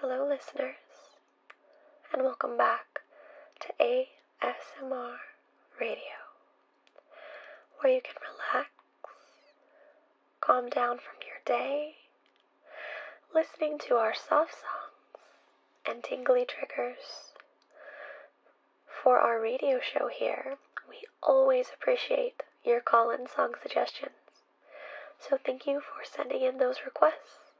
Hello, listeners, and welcome back to ASMR Radio, where you can relax, calm down from your day, listening to our soft songs and tingly triggers for our radio show here, we always appreciate your call in song suggestions. So thank you for sending in those requests.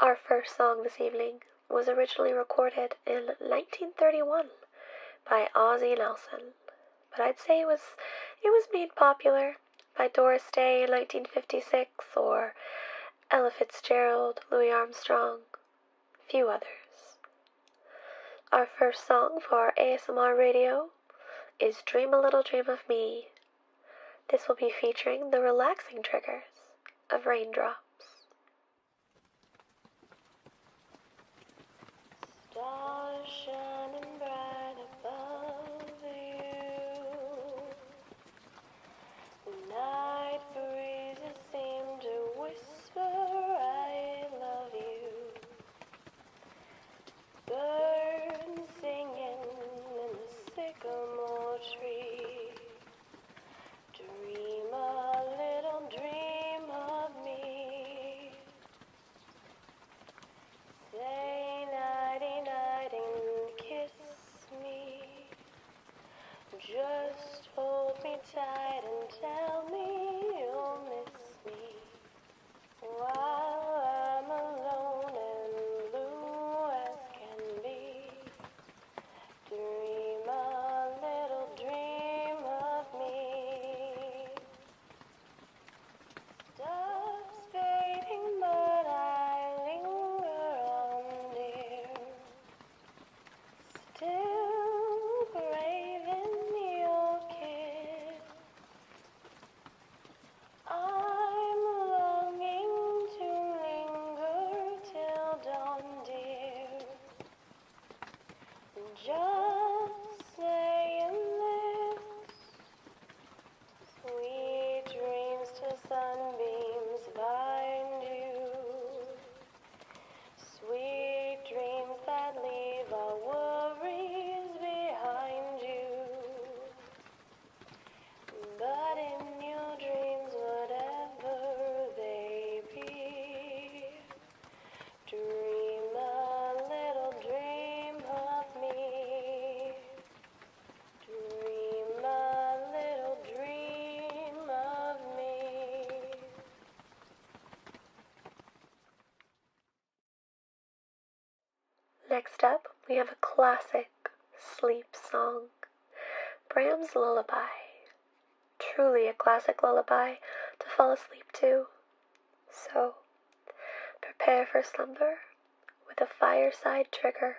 Our first song this evening was originally recorded in 1931 by Ozzy Nelson, but I'd say it was it was made popular by Doris Day in 1956 or Ella Fitzgerald, Louis Armstrong, few others. Our first song for ASMR radio is Dream a Little Dream of Me. This will be featuring the relaxing triggers of raindrops. The night breezes seem to whisper, I love you. Birds singing in the sycamore tree. Dream a little dream of me. Say nighty night and kiss me. Just hold me tight and tell me you'll miss me while I'm alone and blue as can be. Dream a little dream of me. Stuff's fading, but I linger on, dear. Still brave your kiss. I'm longing to linger till dawn, dear. Just saying this. Sweet dreams to sunbeams bind you. Sweet dreams that leave our worries behind you. But in your dreams, whatever they be, dream a little dream of me. Dream a little Next up, we have a classic sleep song Bram's Lullaby. Truly a classic lullaby to fall asleep to. So, prepare for slumber with a fireside trigger.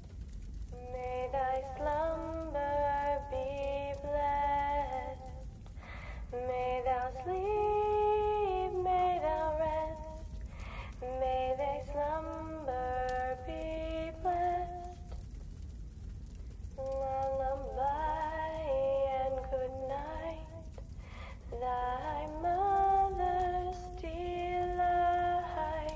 May thy slumber be blessed. May thou sleep, may thou rest. May thy slumber be blessed. Lullaby and good Thy mother's delight.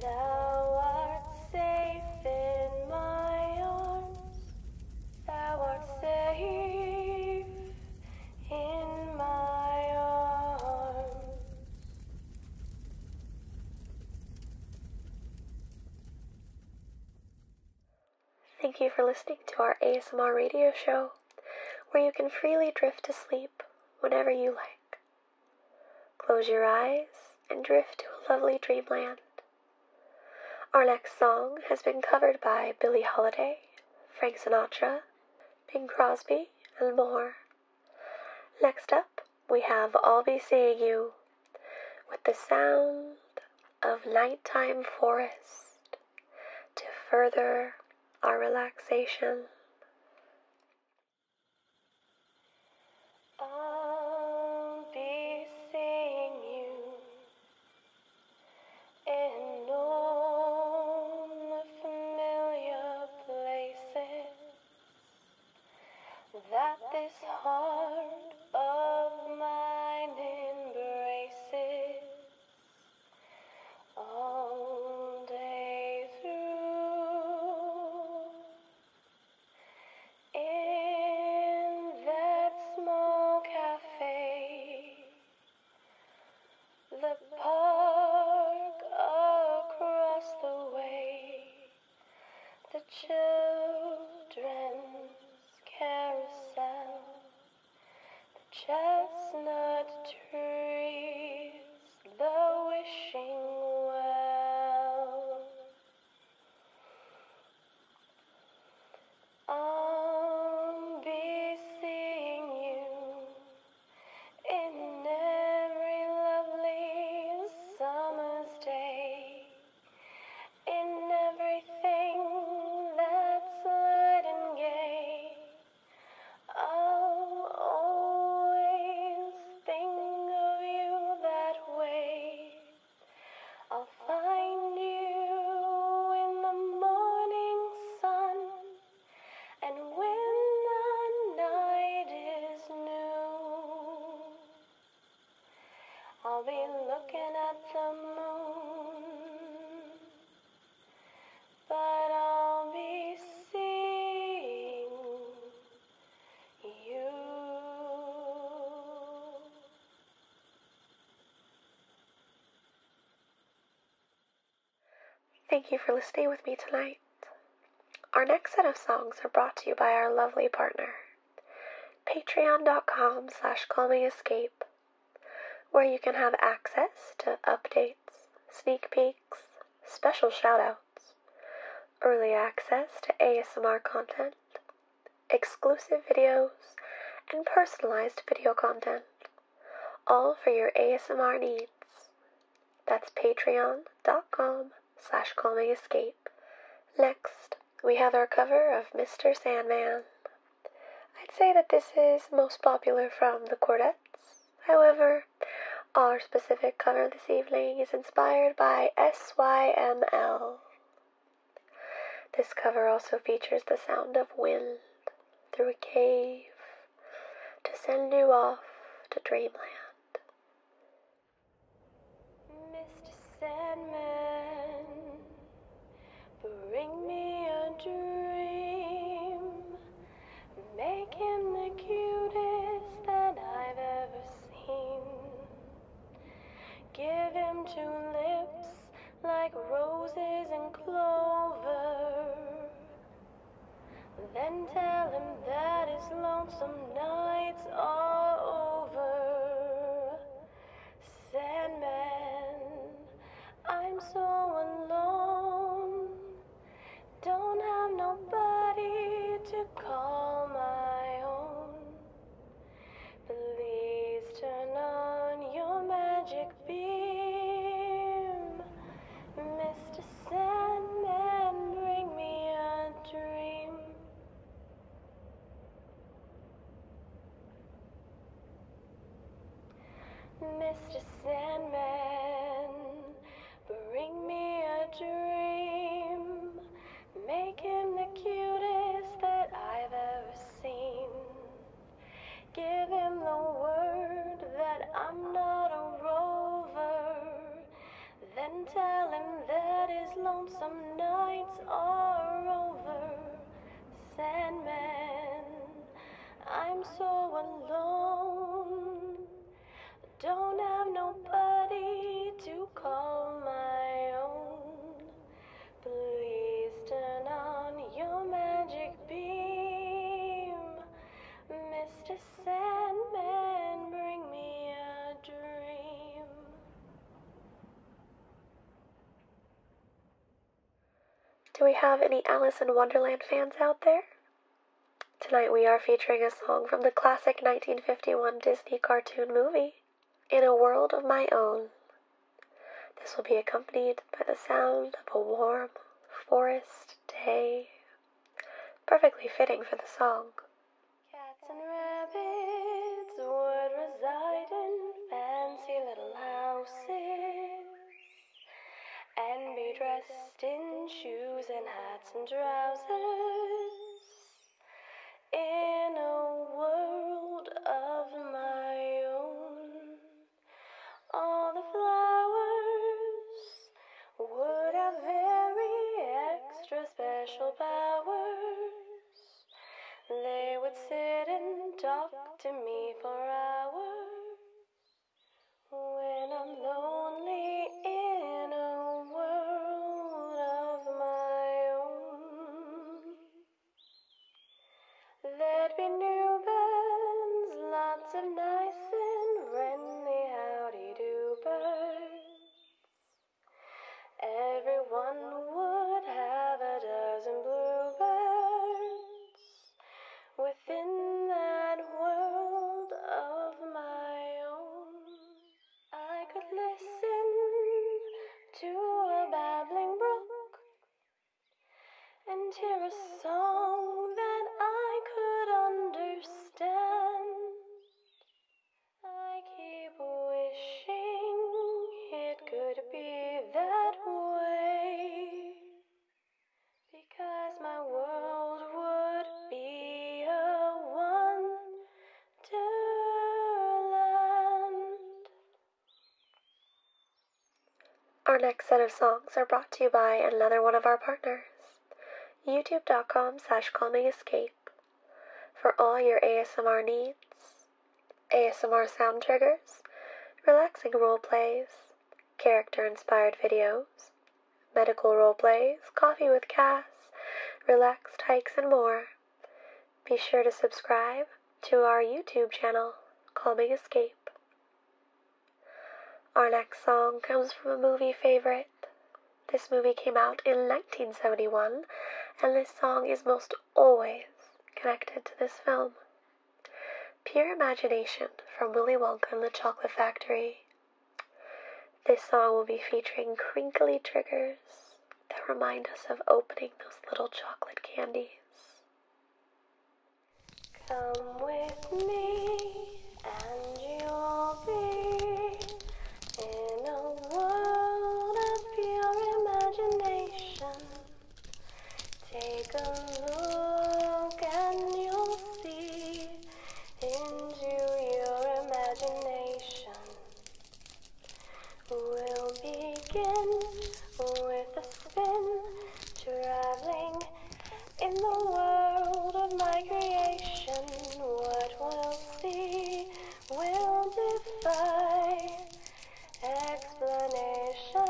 Thou art safe in my arms. Thou art safe in my arms. Thank you for listening to our ASMR radio show, where you can freely drift to sleep whenever you like. Close your eyes and drift to a lovely dreamland. Our next song has been covered by Billie Holiday, Frank Sinatra, Bing Crosby, and more. Next up, we have I'll Be Seeing You with the sound of nighttime forest to further our relaxation. I'll be seeing you in all the familiar places that this heart of mine embraces all day through. In that small cafe, the park across the way, the children's carousel, the chestnut trees, the wishing well. I'll be seeing you in every lovely summer's day, in everything that's light and gay. I'll always think of you that way. I'll find you in the morning sun, and when the night is new, I'll be looking at the moon, but I'll be seeing you. Thank you for listening with me tonight. Our next set of songs are brought to you by our lovely partner, patreon.com slash calmingescape, where you can have access to updates, sneak peeks, special shoutouts, early access to ASMR content, exclusive videos, and personalized video content, all for your ASMR needs. That's patreon.com slash calmingescape. Next, we have our cover of Mr. Sandman. I'd say that this is most popular from the quartets. However, our specific cover this evening is inspired by SYML. This cover also features the sound of wind through a cave to send you off to dreamland. Mr. Sandman, bring me a dream. Make him the cutest that I've ever seen seen. Give him two lips like roses and clover. Then tell him that his lonesome nights are over. Sandman, I'm so alone. Don't have nobody to call my own. Please turn on your magic beam, Mr. Sandman. Bring me a dream. Mr. Sandman. Bring me a dream. Make him the cutest that I've ever seen. Give him the word that I'm not a rover. Then tell him that his lonesome nights are over. Sandman, I'm so alone. Don't have nobody to call my own. Please turn on your magic beam, Mr. Sandman. Bring me a dream. Do we have any Alice in Wonderland fans out there? Tonight we are featuring a song from the classic 1951 Disney cartoon movie, In a World of My Own. This will be accompanied by the sound of a warm forest day, perfectly fitting for the song. Cats and rabbits would reside in fancy little houses and be dressed in shoes and hats and trousers in a world of my own. All the flowers would have very extra special powers. They would sit and talk to me for hours. When I'm lonely in a world of my own, there'd be new bands, lots of nice and friendly howdy do birds. Everyone would have a dozen bluebirds within that world of my own. I could listen to a babbling brook and hear a song that I could understand. I keep wishing it could be that way. Because my world would be Our next set of songs are brought to you by another one of our partners, youtube.com slash calmingescape for all your ASMR needs, ASMR sound triggers, relaxing role plays, character inspired videos, medical role plays, coffee with Cass, relaxed hikes, and more. Be sure to subscribe to our YouTube channel, Calming Escape. Our next song comes from a movie favorite. This movie came out in 1971, and this song is most always connected to this film. Pure Imagination from Willy Wonka and the Chocolate Factory. This song will be featuring crinkly triggers that remind us of opening those little chocolate candies. Come with me and you'll be in a world of pure imagination. Take a look and you'll see into your imagination. We'll begin with a spin, traveling in the world of my creation. What we'll see will defy explanation.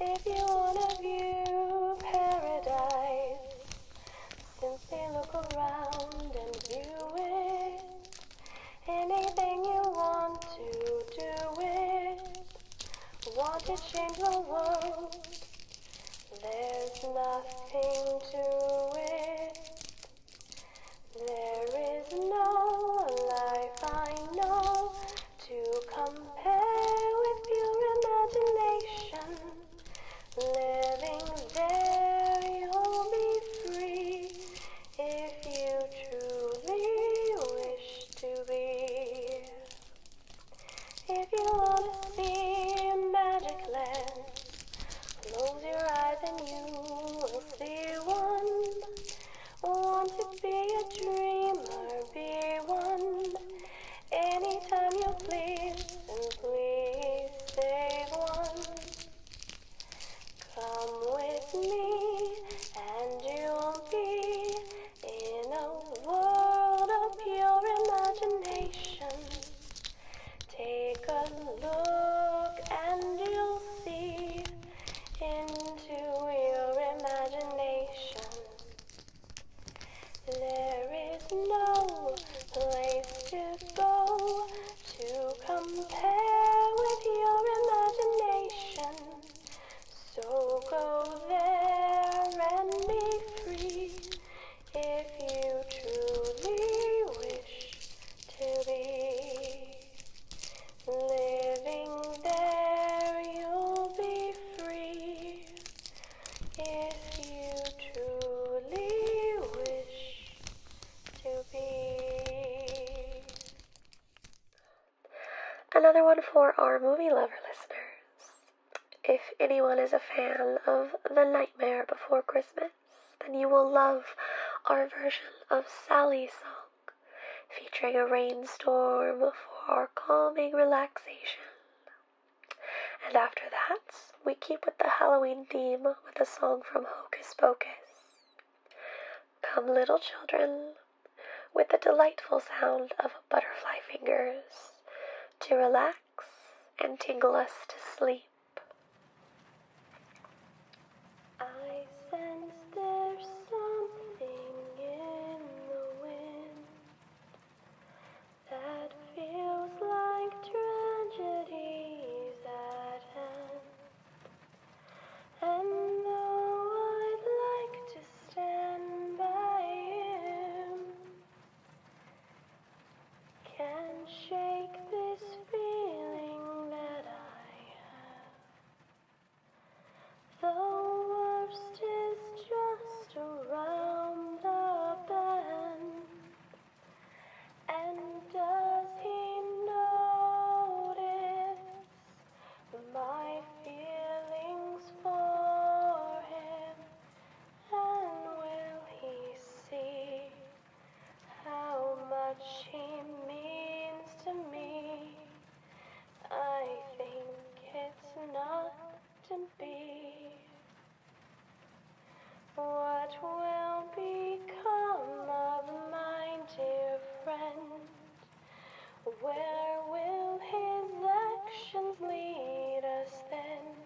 If you wanna view paradise, simply look around and view it. Anything you want to do it. Want to change the world? There's nothing to it. There is no life I know to compare with your imagination. Living there, you'll be free if you truly wish to be. If you want to see magic land, close your eyes and you will see one. Want to be a dreamer, be one. Anytime you please, and please save one. Come with me, and you'll be in a world of pure imagination. Take a look, and you'll see into your imagination. There is no place to go to compare with your imagination. So go there and be free if you truly wish to be. Living there, you'll be free. Another one for our movie lover listeners. If anyone is a fan of The Nightmare Before Christmas, then you will love our version of Sally's song, featuring a rainstorm for our calming relaxation. And after that, we keep with the Halloween theme with a song from Hocus Pocus. Come, little children, with the delightful sound of butterfly fingers to relax and tingle us to sleep. I sense there's something in the wind, that feels like tragedy's at hand. And though I'd like to stand by him, can't shake this feeling that I have. The worst is just around the bend. And does he notice my feelings for him? And will he see how much he means to me? I think it's not to be? What will become of my dear friend? Where will his actions lead us then?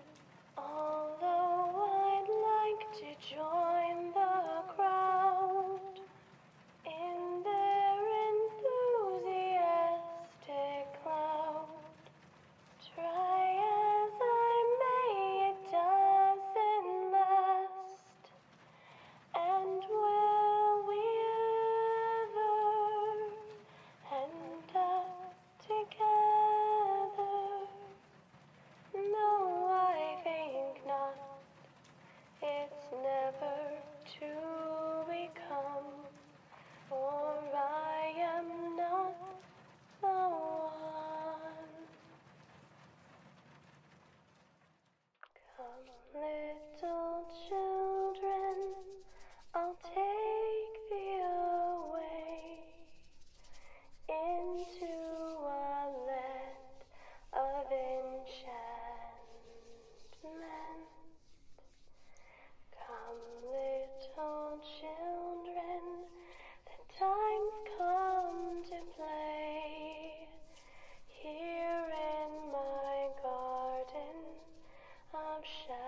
Although I'd like to join the crowd in their enthusiasm cloud. Try as I may, it doesn't last. And will we ever end up together? No, I think not. It's never to become for I am not the one. Come, little children, I'll take thee away into a land of enchantment. Come, little children, the time's come to play. Here in my garden of shadows,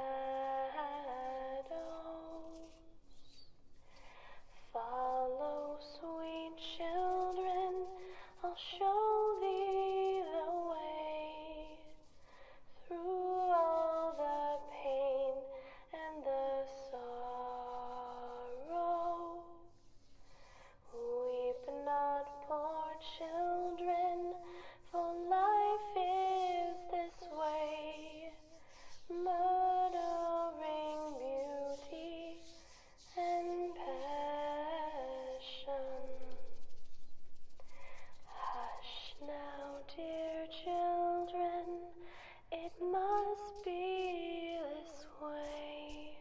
follow, sweet children, I'll show thee the way through all the pain and the sorrow. Weep not, poor children, for life is this way. Murdering beauty and pain. Hush now, dear children, it must be this way.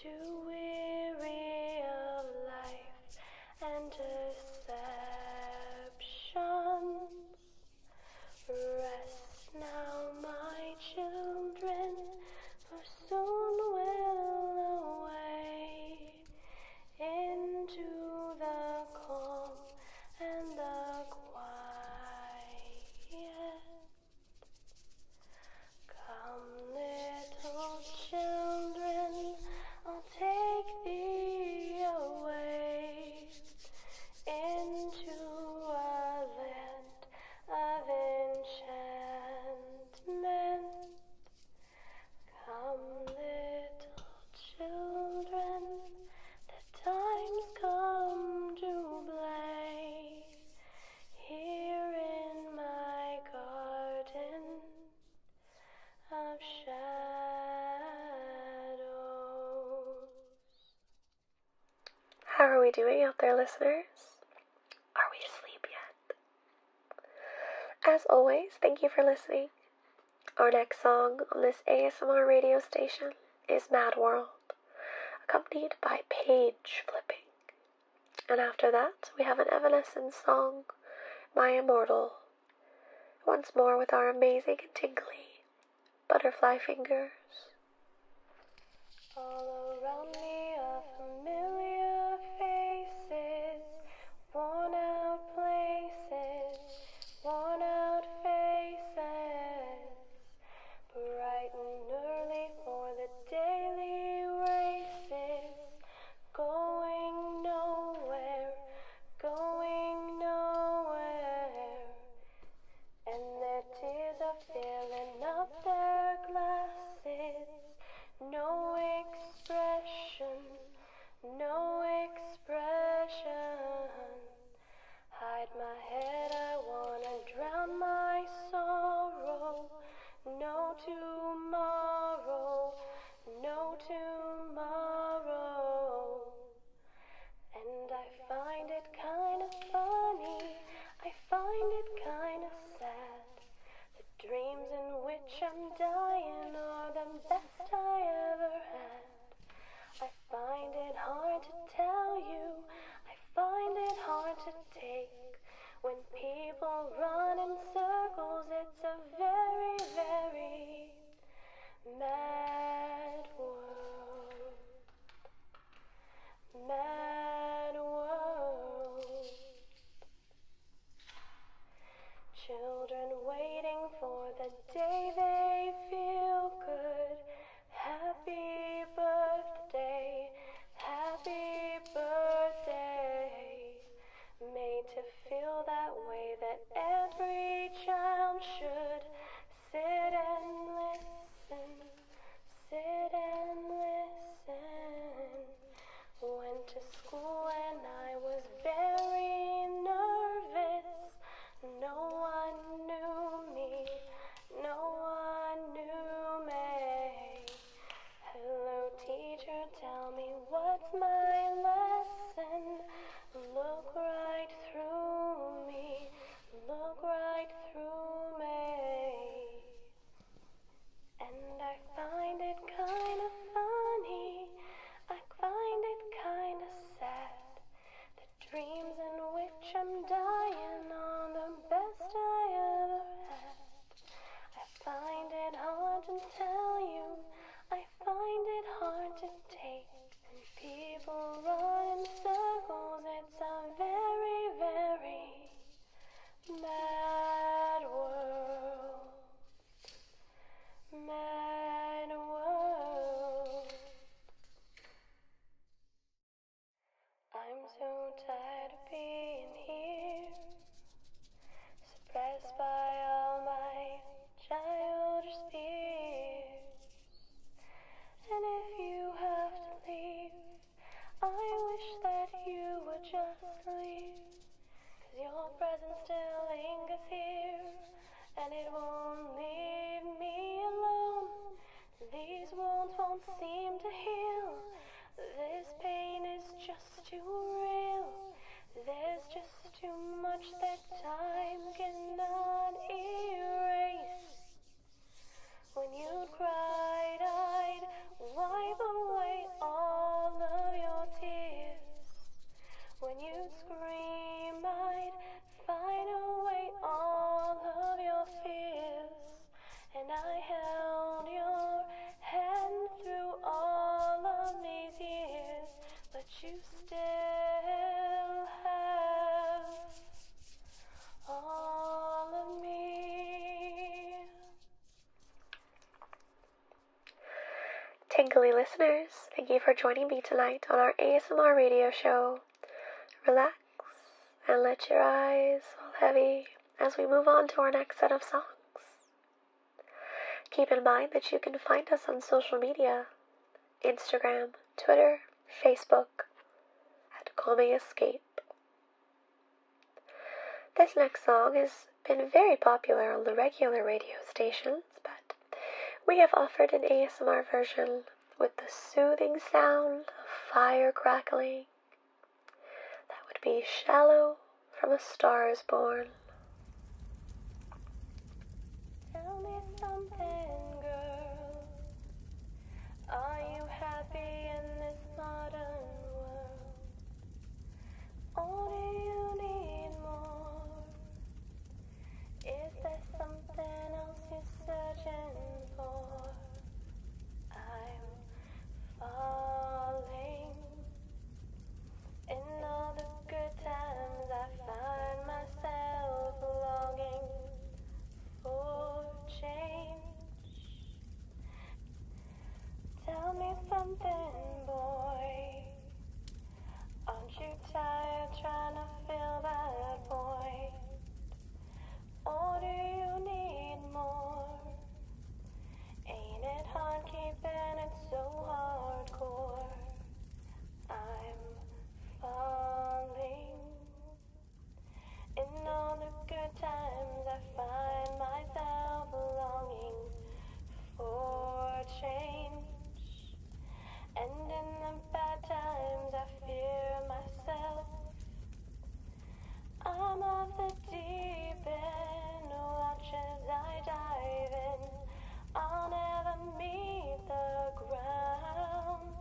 Too weary of life and deceptions. Rest now, my children, for soon will away into the calm and the quiet. Come, little children, I'll take thee away into a land of enchantment. Come, little children, the time's come to play. Here in my garden of shadows. How are we doing out there, listeners? Are we asleep yet? As always, thank you for listening. Our next song on this ASMR radio station is Mad World, accompanied by page flipping. And after that, we have an Evanescence song, My Immortal. Once more with our amazing and tingly butterfly fingers. All around me are familiar faces worn out places, worn out faces, bright early for the daily races, going nowhere, going nowhere, and their tears are filling up their glasses no expression, no expression. Hide my head, I wanna drown my sorrow. No tomorrow, no tomorrow. And I find it kinda funny, I find it kinda sad. The dreams in which I'm dying are the best I ever had. I find it hard to tell you, I find it hard to take. When people run in circles, it's a very, very mad world. Mad world. Children waiting for the day they feel good. Happy birthday, happy birthday. Made to feel that way that every child should. Sit and listen, sit and listen. Went to school and I was very nervous. No one knew me. No one knew me. Hello, teacher, tell me what's my lesson. Look right through me. Look right through me. And I find it kinda funny, I find it kinda sad. The dreams in which I'm dying are the best I ever had. I find it hard to tell you, I find it hard to take. people run in circles, it's a very, very mad world, mad world. I'm so tired of being here, suppressed by all my childish fears. And if you have to leave, I wish that you would just leave. Cause your presence still lingers here. And it won't leave me alone. These wounds won't seem to heal. This pain is just too real. There's just too much that time cannot erase. When you bright-eyed, wipe away all of your tears. When you scream, I'd find away all of your fears. And I held your hand through all of these years, but you still have all of me. Tingly listeners, thank you for joining me tonight on our ASMR radio show. Relax and let your eyes fall heavy as we move on to our next set of songs. Keep in mind that you can find us on social media Instagram, Twitter, Facebook at Call Escape. This next song has been very popular on the regular radio stations, but we have offered an ASMR version with the soothing sound of fire crackling. That would be Shallow from A Star is Born. All you need more. Is there something else you're searching for? I'm falling. In all the good times, I find myself longing for change. Tell me something, boy. Aren't you tired trying to feel that void? Or do you need more? Ain't it hard keeping it so hardcore? I'm falling. In all the good times, I find myself longing for change. And in the bad times, I fear myself. I'm off the deep end, watch as I dive in. I'll never meet the ground.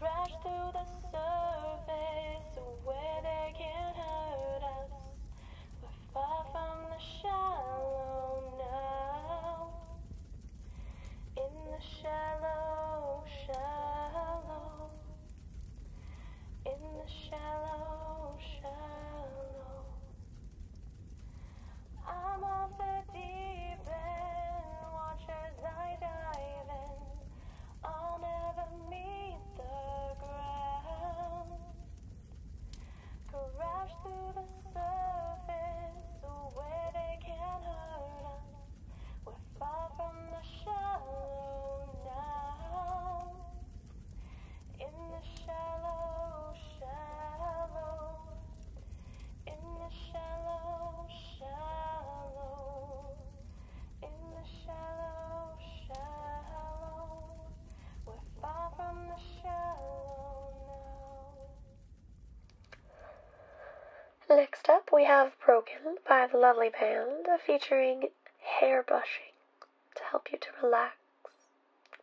Crash through the surface where they can't hurt us. We're far from the shallow now. In the shallow, shallow. In the shallow, shallow. I'm off the deep end, watch as I dive in. I'll never meet the ground. Crash through the surface where they can't hurt us. We're far from the shallow now. In the shallow, shallow. In the shallow, shallow. Next up, we have Broken by the lovely band featuring hair brushing to help you to relax,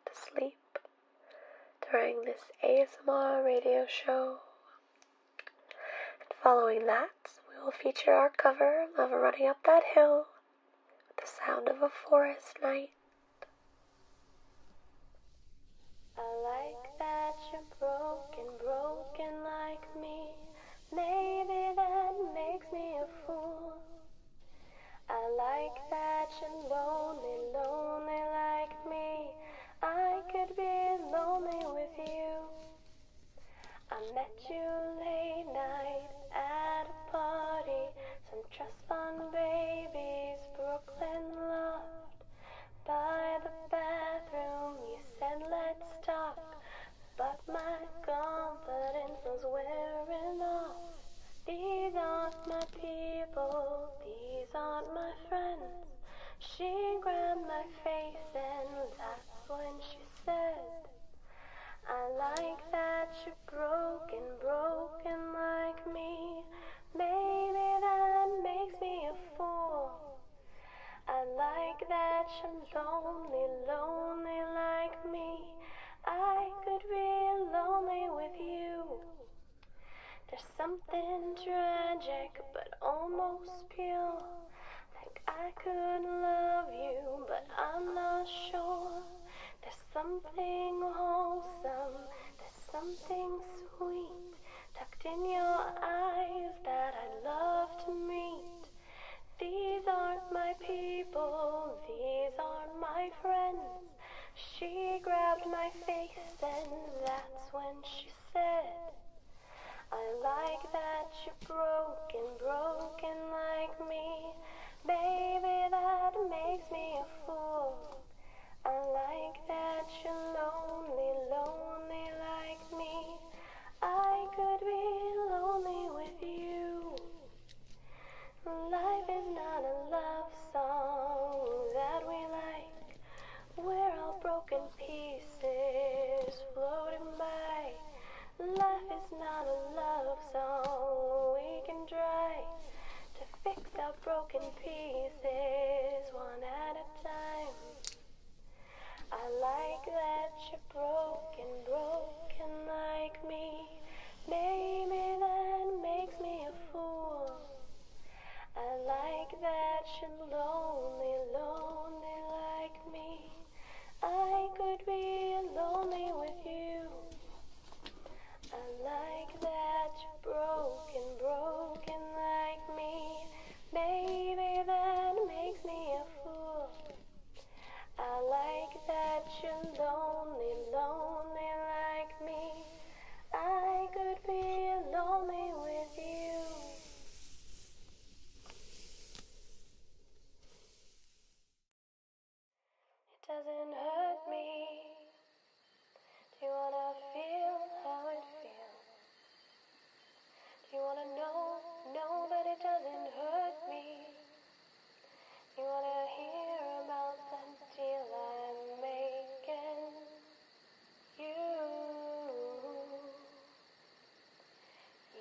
to sleep during this ASMR radio show. And following that, we will feature our cover of Running Up That Hill with the sound of a forest night. I like that you're broken, broken like me. Maybe that makes me a fool. I like that you're lonely, lonely like me. I could be lonely with you. I met you late night at a party. Some trust fund babies Brooklyn loft By the bathroom, you said, let's talk. But my confidence was wearing off. These aren't my people, these aren't my friends. She grabbed my face and that's when she said. I like that you're broken, broken like me. Maybe that makes me a fool. I like that you're lonely, lonely like me. I could be lonely with you. There's something tragic, but almost pure like I could love you, but I'm not sure. There's something wholesome, there's something sweet tucked in your eyes that I'd love to meet. These aren't my people, these aren't my friends. She grabbed my face, and that's when she said. I like that you're broken, broken like me. Baby, that makes me a fool. I like that you're lonely, lonely like me. I could be lonely with you. Life is not a love song that we like. We're all broken broken pieces floating by. Life is not a love song we can try to fix our broken pieces one at a time. I like that you're broken, broken like me. Maybe that makes me a fool. I like that you're lonely, lonely like me. I could be lonely with you. I like that you're broken, broken like me. Baby, that makes me a fool. I like that you're lonely, lonely like me. I could be lonely with you. It doesn't hurt me. Do you wanna feel how it feels? Do you wanna know, know that it doesn't hurt me? you wanna hear about the deal I'm making? You.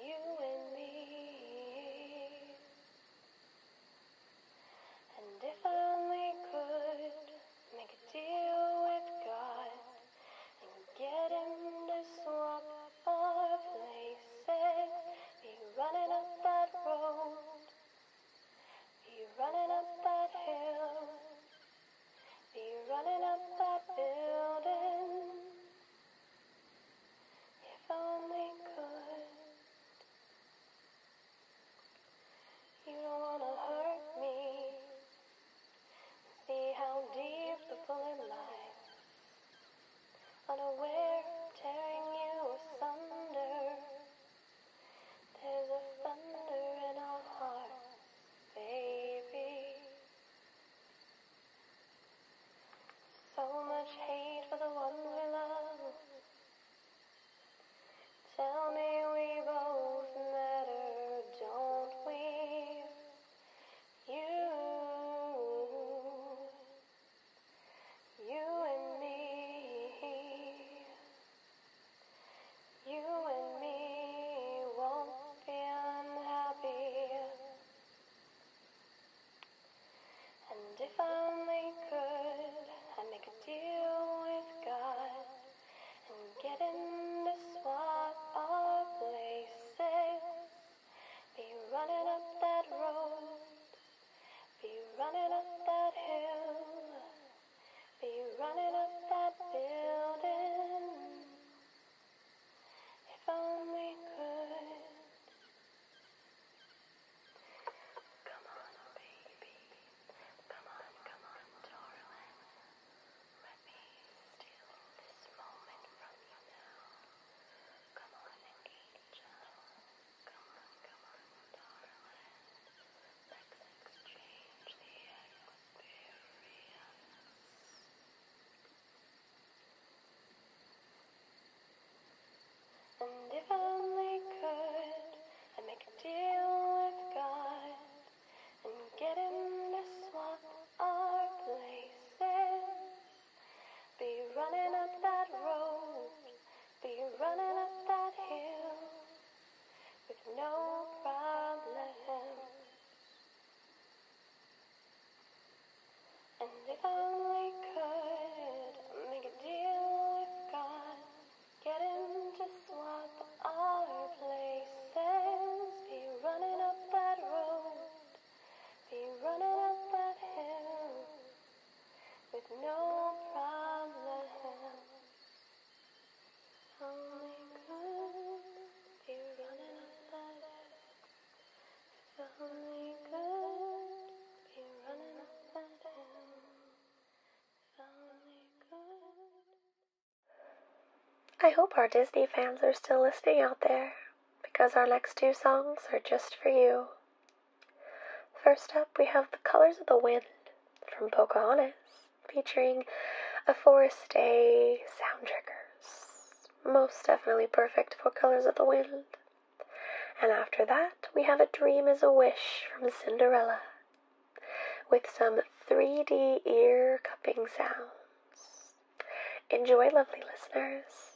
You and me. And if I only could make a deal with God and get him to swap our places, be running up that road, be running up that hill. Be running up that building. If only could. You don't wanna hurt me. See how deep the pulling lies. Unaware, tearing you asunder. There's a thunder in our heart, baby. So much hate for the ones we love. Tell me we both matter, don't we? You, you and me, you and me won't be unhappy. And if I only could, I'd make a deal with God and get in the swap our places. Be running up that road, be running up that hill, be running up that building. If only could. Come on, baby. Come on, come on, darling. Let me steal this moment from you Come on, angel. Come on, come on, darling. Let's exchange the experience. And if I only could, I'd make a deal with God and get him to swap our places. Be running up that road, be running up that hill with no problem. And if I only could make a deal with God, get him to swap our places, be running up that road, be running up that hill with no problem. I hope our Disney fans are still listening out there because our next two songs are just for you. First up, we have The Colors of the Wind from Pocahontas featuring a Forest Day sound triggers. Most definitely perfect for Colors of the Wind. And after that, we have A Dream is a Wish from Cinderella with some 3D ear cupping sounds. Enjoy, lovely listeners.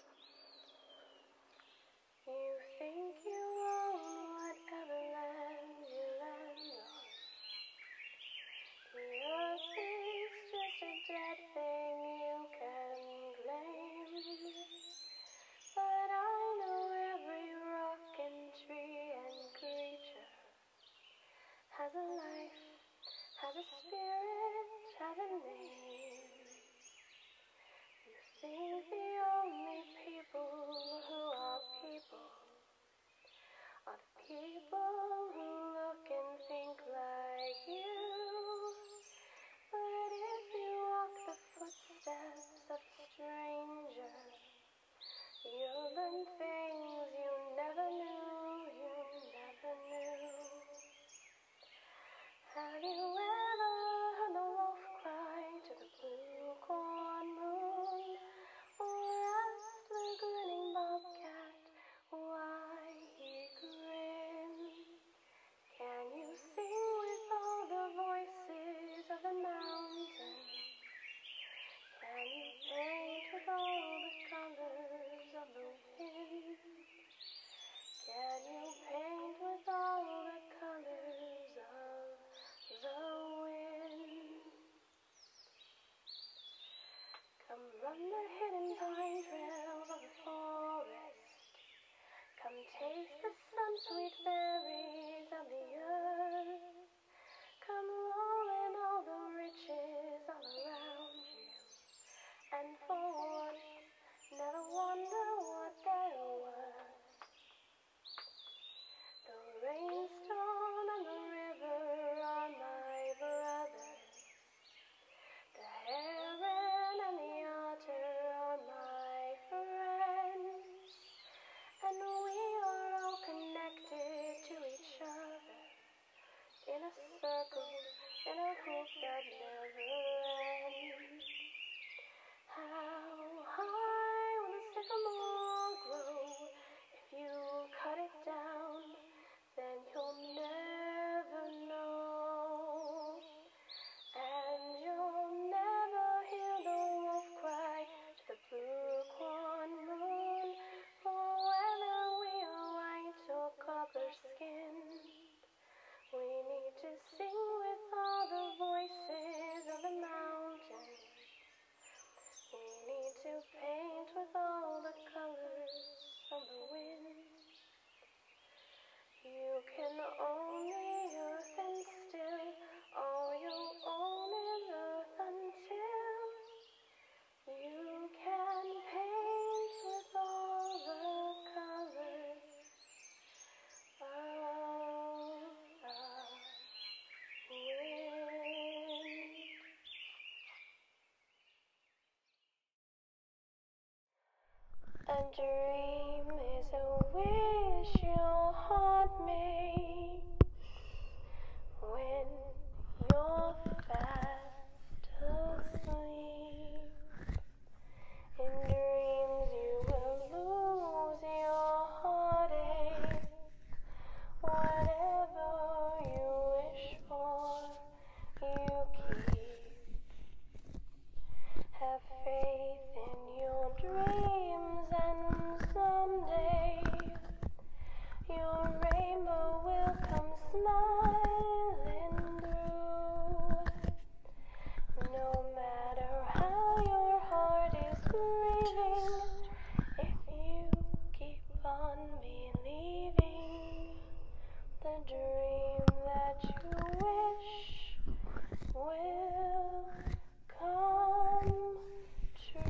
Nothing's just a dead thing you can blame. But I know every rock and tree and creature has a life, has a spirit, has a name. You think the only people who are people of people who look and think like you. But if you walk the footsteps of strangers, you'll learn things you never knew, you never knew. Have you ever heard the wolf cry to the blue corn moon? Or asked the grinning bobcat why he grinned. Can you sing with all the voices of the mountain? Can you paint with all the colors of the wind? Can you paint with all the colors of the wind? Come run the hidden pine trails of the forest. Come taste the sun sweet berries of the earth. Come roll in all the riches all around you. And for once, never wonder what they're The rain stone on the river are my brothers. The heron and the otter are my friends. And we are all connected to each other in a circle, in a hoop that never ends. How high will the sycamore grow? If you cut it down, then you'll never know. And you'll never hear the wolf cry the blue corn moon. For whether we are white or copper skinned, we need to sing with all the voices of the mountains. We need to paint with all the colors of the wind. You can only the earth and still all you own earth until you can paint with all the colors of the wind. A dream is a wish your heart makes when you're fast asleep. In dreams, you will lose your heartache. Whatever you wish for, you keep. Have faith in your dreams, and someday your rainbow will come smiling through. No matter how your heart is grieving. If you keep on believing the dream that you wish will come true.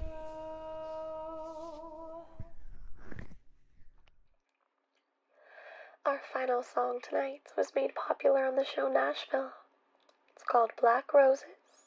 Our final song tonight was made popular on the show Nashville. It's called Black Roses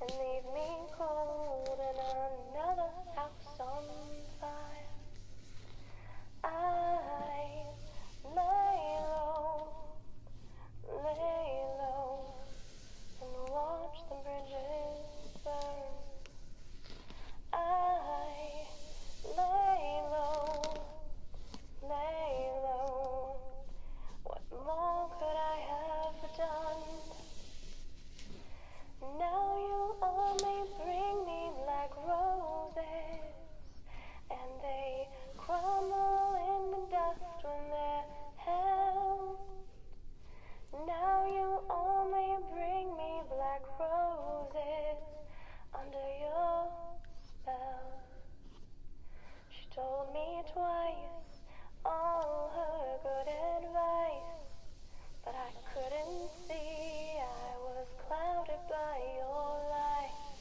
and leave me cold in another house on fire. I lay low, lay low, and watch the bridges burn. I lay low, lay low. What more could I have done? Now you only bring me black roses, and they crumble in the dust when they're held. Now you only bring me black roses under your spell. She told me twice all her good advice, but I couldn't see I was clouded by your light.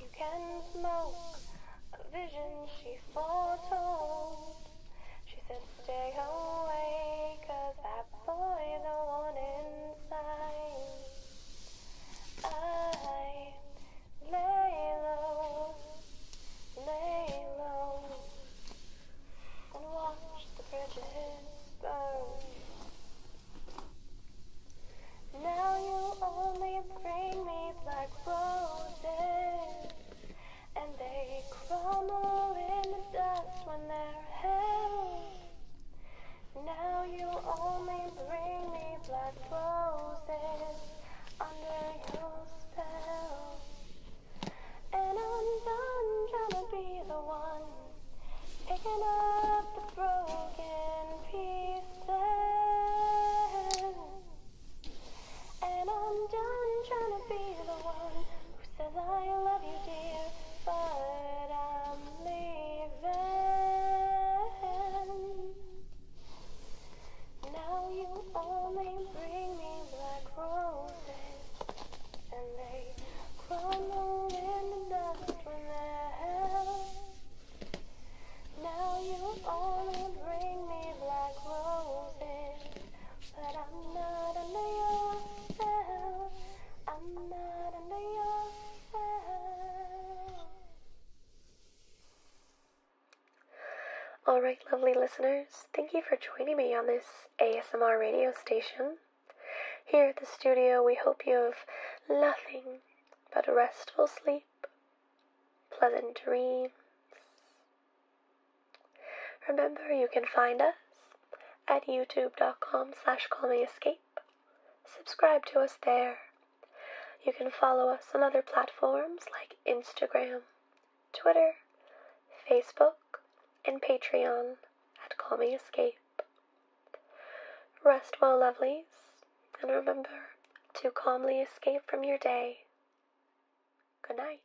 You can smoke a vision she foretold. She said, Stay away, cause that boy's the one inside. I lay low lay low and watch the bridges burn. Now you only bring me black roses, and they crumble in the dust when they're held. Now you only bring me black roses under your spell. And I'm done trying to be the one picking up the broken pieces. And I'm done trying to be the one who says I love you, dear, but I'm leaving. Now you only bring me black roses, and they crumble in the dust when they're held. Now you only bring me black roses, but I'm not under your spell. I'm not under your spell. All right, lovely listeners, thank you for joining me on this ASMR radio station. Here at the studio, we hope you have nothing but restful sleep, pleasant dreams. Remember, you can find us at youtube.com slash callmeescape. Subscribe to us there. You can follow us on other platforms like Instagram, Twitter, Facebook, and Patreon at Call Me Escape. Rest well, lovelies, and remember to calmly escape from your day. Good night.